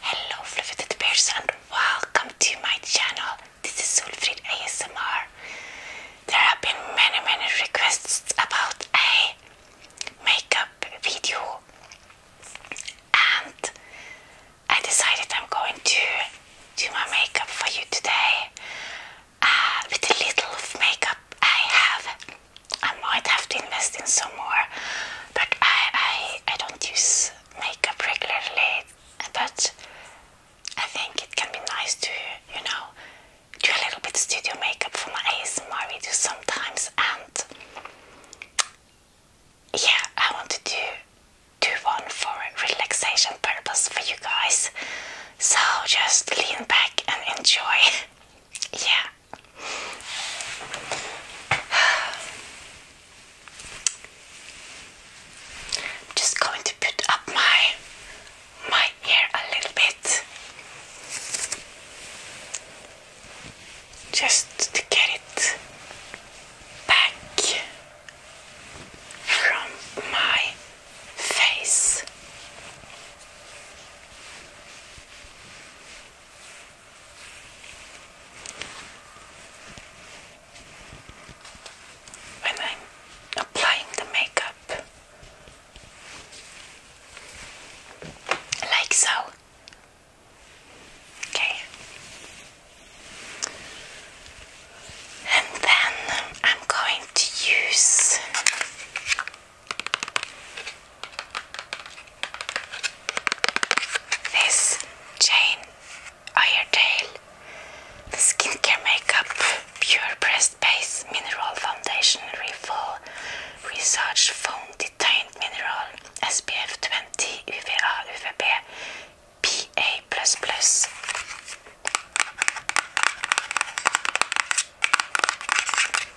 Hello fluffy bears and welcome to my channel. This is Solfrid ASMR. There have been many many requests about a makeup video and I decided I'm going to do my makeup for you today uh, with a little of makeup I have I might have to invest in some more, but I I, I don't use makeup regularly. But I think it can be nice to you know do a little bit studio makeup for my ASMR videos sometimes, and yeah, I want to do do one for relaxation purpose for you guys. So just lean back and enjoy. yeah. I'm just going to put up my my hair a little bit just to get it back from my face. I'm applying the makeup, like so. Okay. And then I'm going to use this Jane Iredale the Skincare Makeup Pure Pressed Base Mineral Foundation Refill Research Foam Detained Mineral SPF 20 UVA UVB PA++.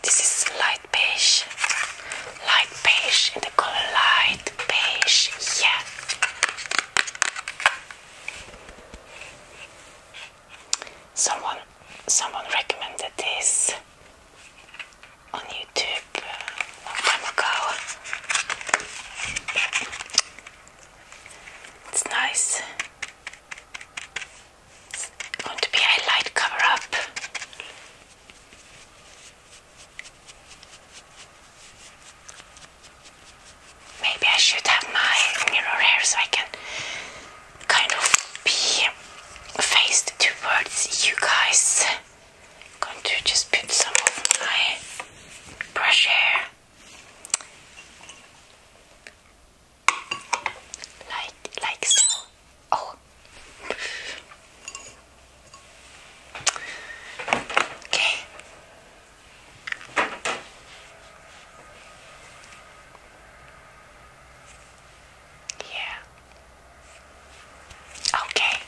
This is light beige, light beige in the color light beige. Yeah. Someone, someone recommended this on YouTube a uh, long time ago. It's nice. It's going to be a light cover up. Maybe I should have my mirror here so I can kind of be faced towards you guys. I'm going to just put some of my brush hair like like so. Oh. Okay. Yeah. Okay.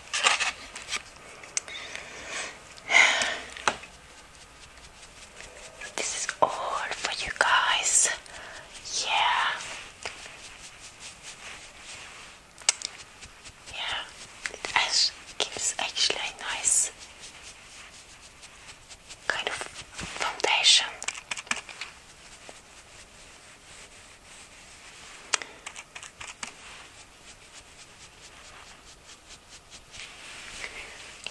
This is all for you guys. Yeah. Yeah, it gives actually nice kind of foundation.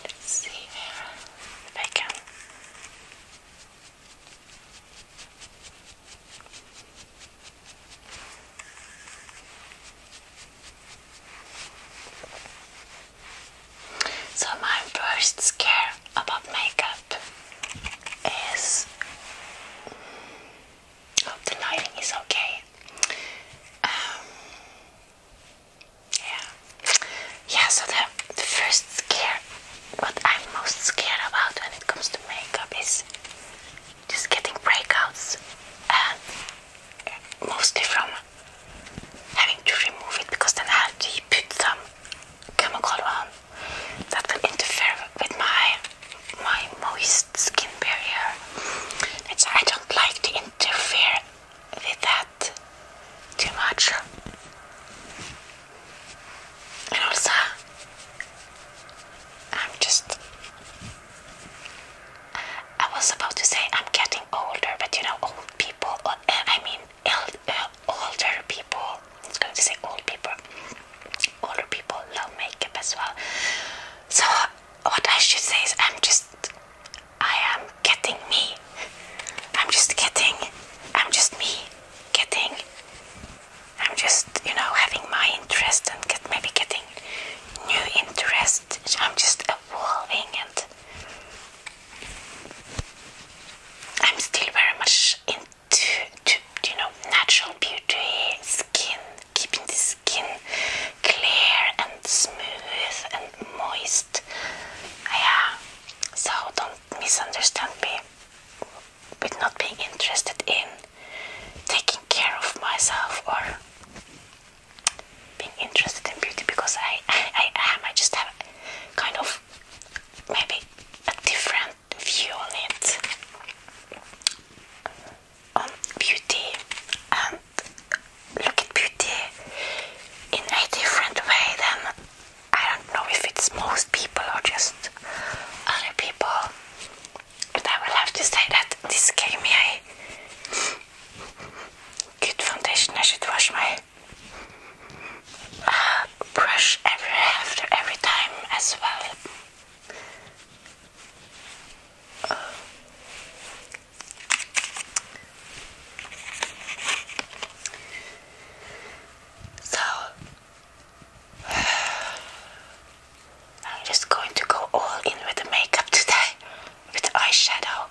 Let's see if I can so, my first scare about makeup is mm, hope the lighting is okay. Um, yeah. Yeah, so the, first scare, what I'm most scared about when it comes to makeup is just getting breakouts and mostly from having to remove it because then I have to put some chemical on that will interfere with my my moist skin barrier. It's, I don't like to interfere with that too much. also, I'm just. I was about to say I'm getting older, but you know, old people, eh, I mean, eld, eh, people, I was going to say old people, older people love makeup as well. So, what I should say is, I'm just, I am getting me. I'm just kidding. I'm just me getting, I'm just, you know, having my interest and get, maybe getting new interest. I'm just evolving and I'm still very much into, you know, natural beauty, skin, keeping the skin clear and smooth and moist yeah. So don't misunderstand me with not being interested in taking care of myself or being interested in beauty because I, I, I am. I just have kind of maybe a different view on it, on beauty and look at beauty in a different way than I don't know if it's most people or just other people. But I will have to say that this gave me a good foundation. I should wash my uh, brush every after every time as well. So I'm just going to go all in with the makeup today with eyeshadow.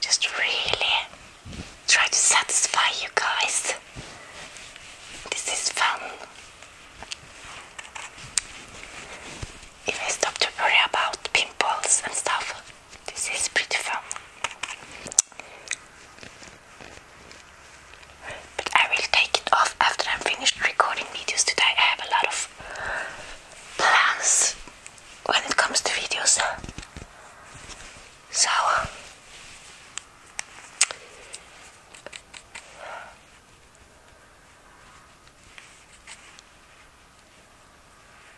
Just really try to satisfy you guys. This is fun. If I stop to worry about pimples and stuff. This is beautiful. But I will take it off after I'm finished recording videos today. I have a lot of plans when it comes to videos. So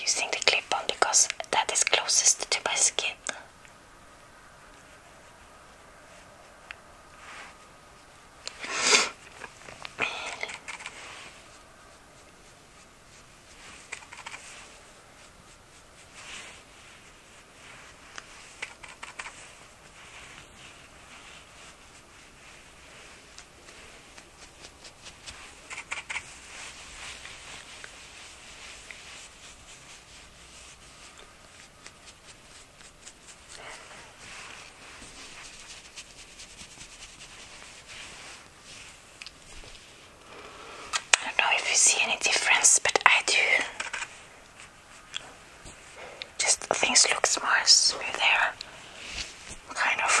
using the clip on because that is closest to my skin. I don't know if you see any difference, but I do. Just things look more smoother, kind of.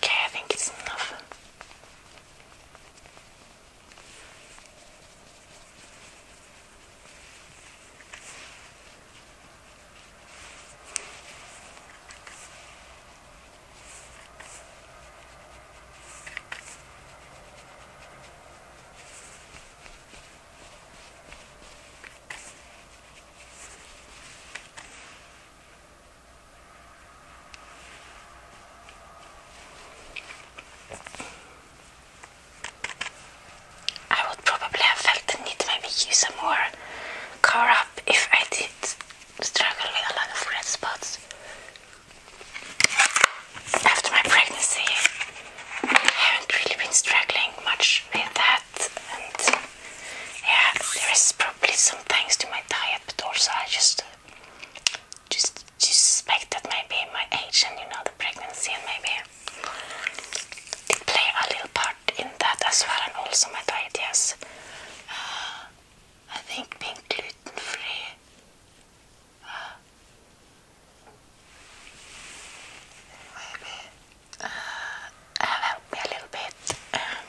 Okay, I think it's enough. I would probably have felt the need to maybe use some more cover up if I did struggle with a lot of red spots after my pregnancy, I haven't really been struggling much with that. And yeah, there is probably some thanks to my diet, but also I just just, suspect that maybe my age and you know the pregnancy and maybe did play a little part in that as well, and also my diet. Yes, uh, I think being gluten free Maybe uh, help me a little bit. Um,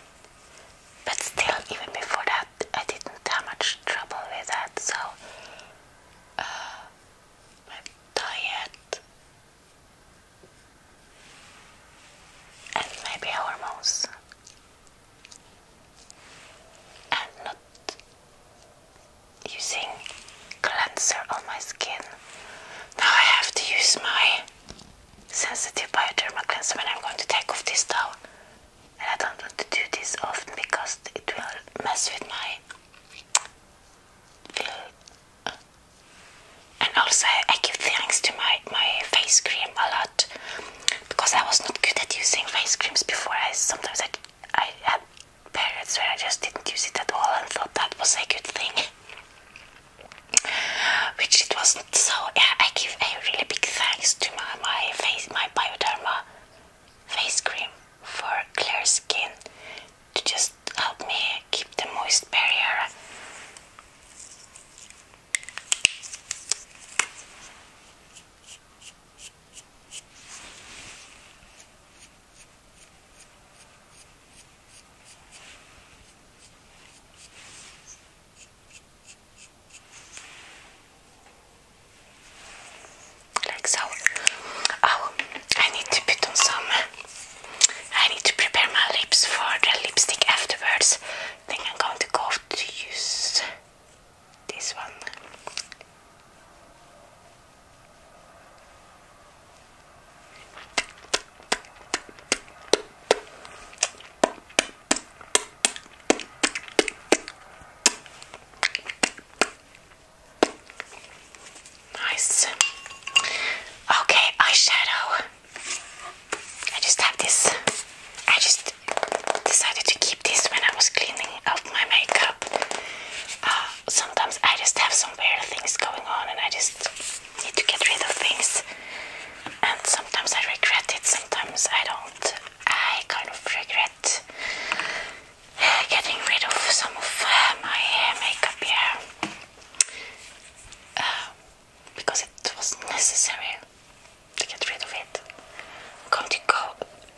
but still, even before that, I didn't have much trouble with that. So uh, my diet and maybe hormones. And not using cleanser on my skin. Now I have to use my sensitive bioderma cleanser and I'm going to take off this towel. And I don't want to do this often because it will mess with my and also I give thanks to my, my face cream a lot because I was not good at using face creams before. I sometimes I, I had periods where I just didn't use it at all and thought that was a good thing. Which it wasn't. So yeah, I give a really big thanks to my, my face, my Bioderma face cream for clear skin to just help me keep the moist barrier. Like so. Oh, I need to put on some. I need to prepare my lips for the lipstick afterwards. I think I'm going to go to use this one. Nice. Okay, eyeshadow. I just have this. I just decided to keep this when I was cleaning up my makeup. Uh, sometimes I just have some weird things going on and I just need to get rid of things. And sometimes I regret it, sometimes I don't. I kind of regret getting rid of some of uh, my makeup here uh, because it was necessary to get rid of it. I'm going to go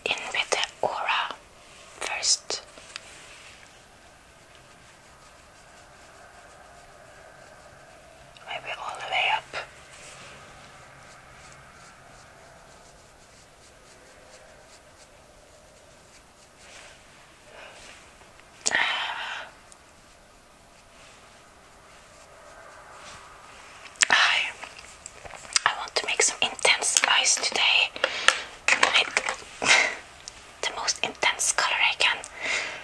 in with the aura first. Maybe all the way up. Ah. I I want to make some intense eyes today. the most intense color I can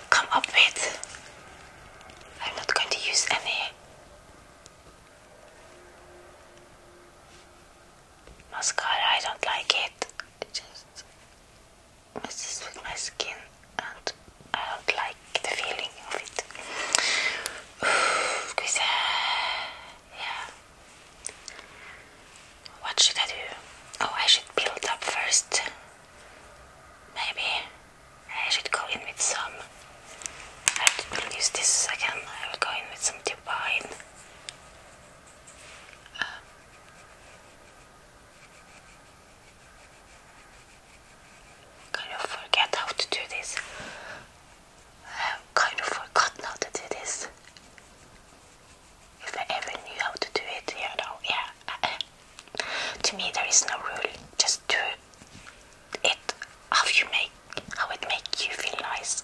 come up with. I'm not going to use any mascara, I don't like it. It just messes with my skin and I don't like the feeling of it. yeah. What should I do? Oh, I should build up first. Maybe I should go in with some. I will use this again. I will go in with some divine. kind um, of forget how to do this. I have kind of forgotten how to do this. If I ever knew how to do it, you know, yeah. to me, there is no rule. Just do it how you make, how it makes you feel nice.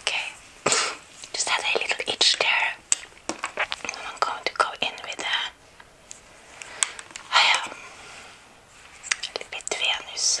Okay, just had a little itch there. I'm going to go in with that. Um, a little bit Venus.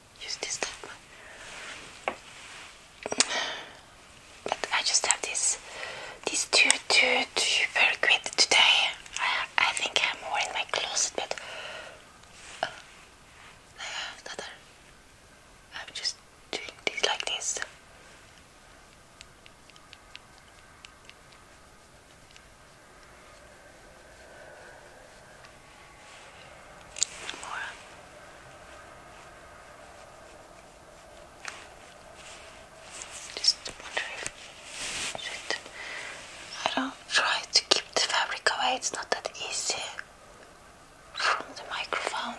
use this type. But I just have this, these two, two, two very good today. I, I think I'm wearing my closet, but uh, another. I'm just doing this like this. Just wonder I don't try to keep the fabric away, it's not that easy from the microphone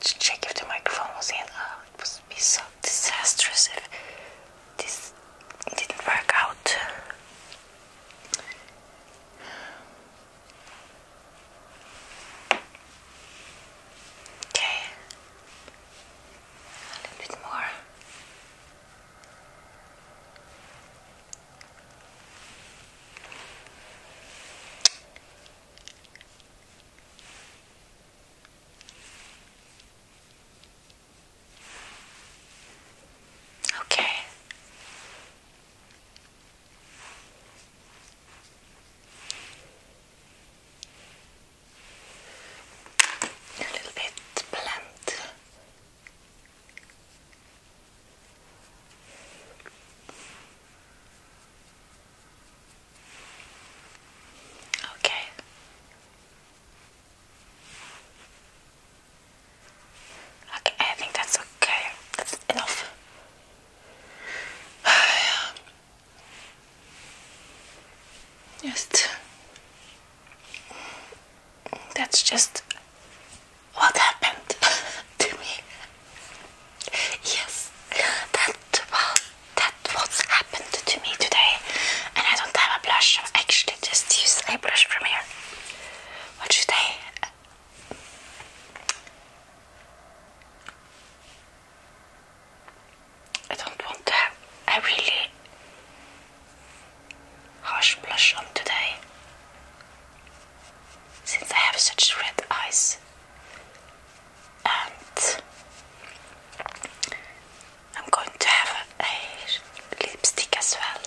to check if the microphone was in. Oh, it would be so disastrous if this didn't work out. Okay, a little bit more. Okay. A little bit blunt. Okay. Okay, I think that's okay. That's enough. Just that's just what happened to me. Yes, that was that what's happened to me today, and I don't have a blush. I actually just use a blush from here. What should uh, I? don't want to have a really harsh blush on today since I have such red eyes. I'm going to have a lipstick as well.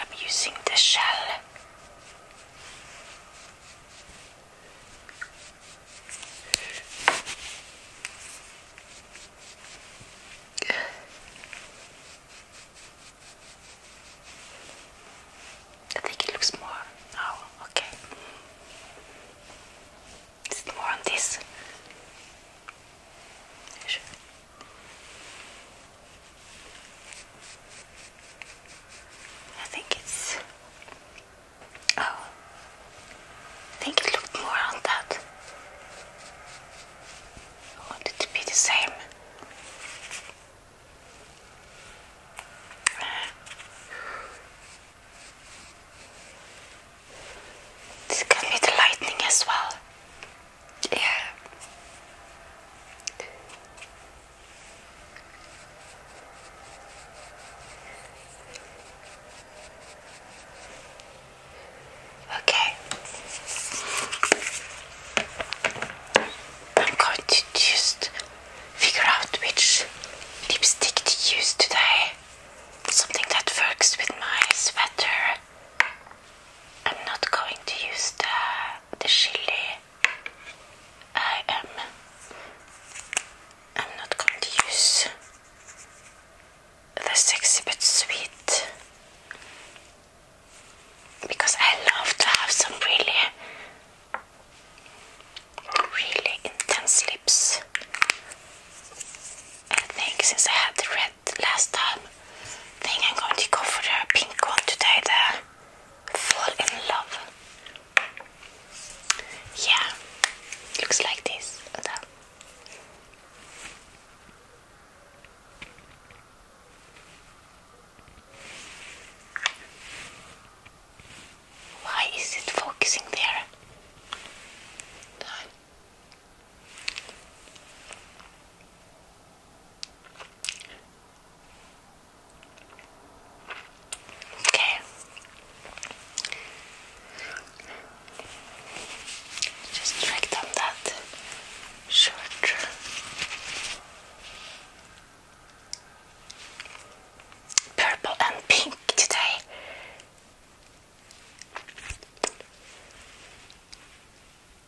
I'm using the shell I think it looks more Oh, okay, is it more on this? I think it's. Oh, I think it looked more on that. I want it to be the same. This can be the lightning as well. Yeah. Okay, I'm going to just figure out which lipstick to use today. Something that works with my sweater. I'm not going to use the the chili I am I'm not going to use this sexy but sweet because I love to have some really really intense lips. I think since I had the red last time I think I'm going to go for the pink one today the fall in love. Yeah, looks like this. Why is it focusing there? Okay. Just drag down that shirt. Purple and pink today.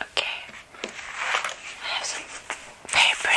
Okay, I have some paper.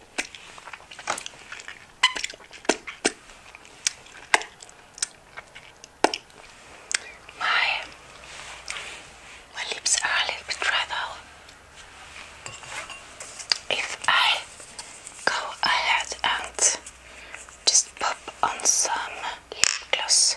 My my lips are a little bit dry though. If I go ahead and just pop on some lip gloss.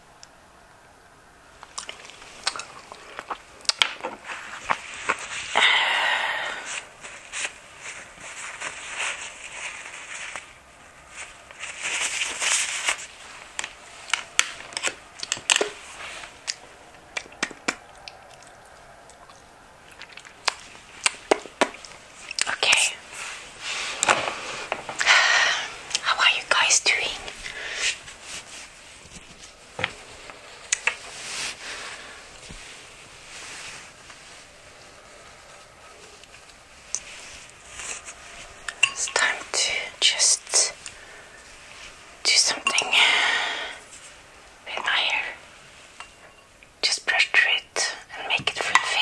Okay. How are you guys doing? It's time to just do something with my hair. Just brush through it and make it fluffy.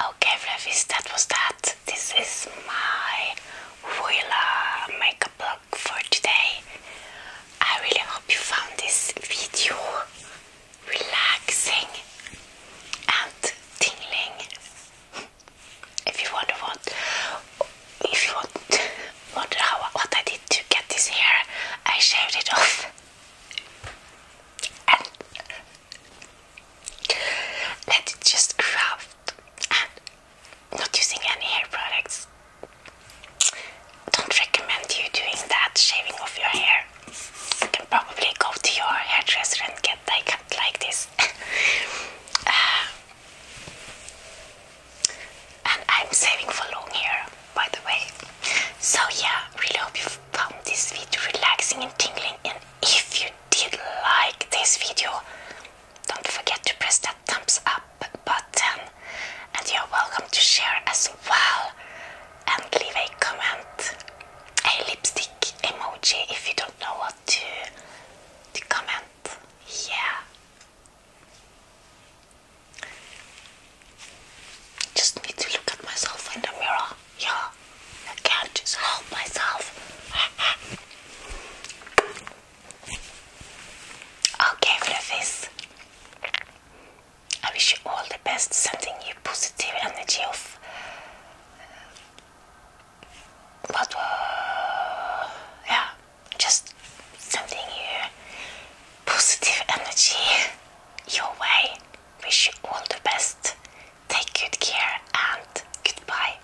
okay, Fluffy's, that was that. This is my Willa makeup blog for today. I really hope you found this video relaxing and tingling if you want to want if you want wonder how what I did to get this hair, I shaved it off. And just grow not using any hair products. Don't recommend you doing that, shaving off your hair. You can probably go to your hairdresser and get like like this. Uh, and I'm saving for long hair, by the way. So yeah, really hope you found this video relaxing and tingling. And if you did like this video, don't forget to press that thumbs up button. And you're welcome to share as well. And leave a comment, a lipstick emoji if you don't know what to, to comment up. Yeah. Just need to look at myself in the mirror. Yeah. I can't just help myself. okay, Fluffies. I wish you all the best, sending you positive energy of but uh, yeah, just sending you positive energy your way. Wish you all the best. Take good care and goodbye.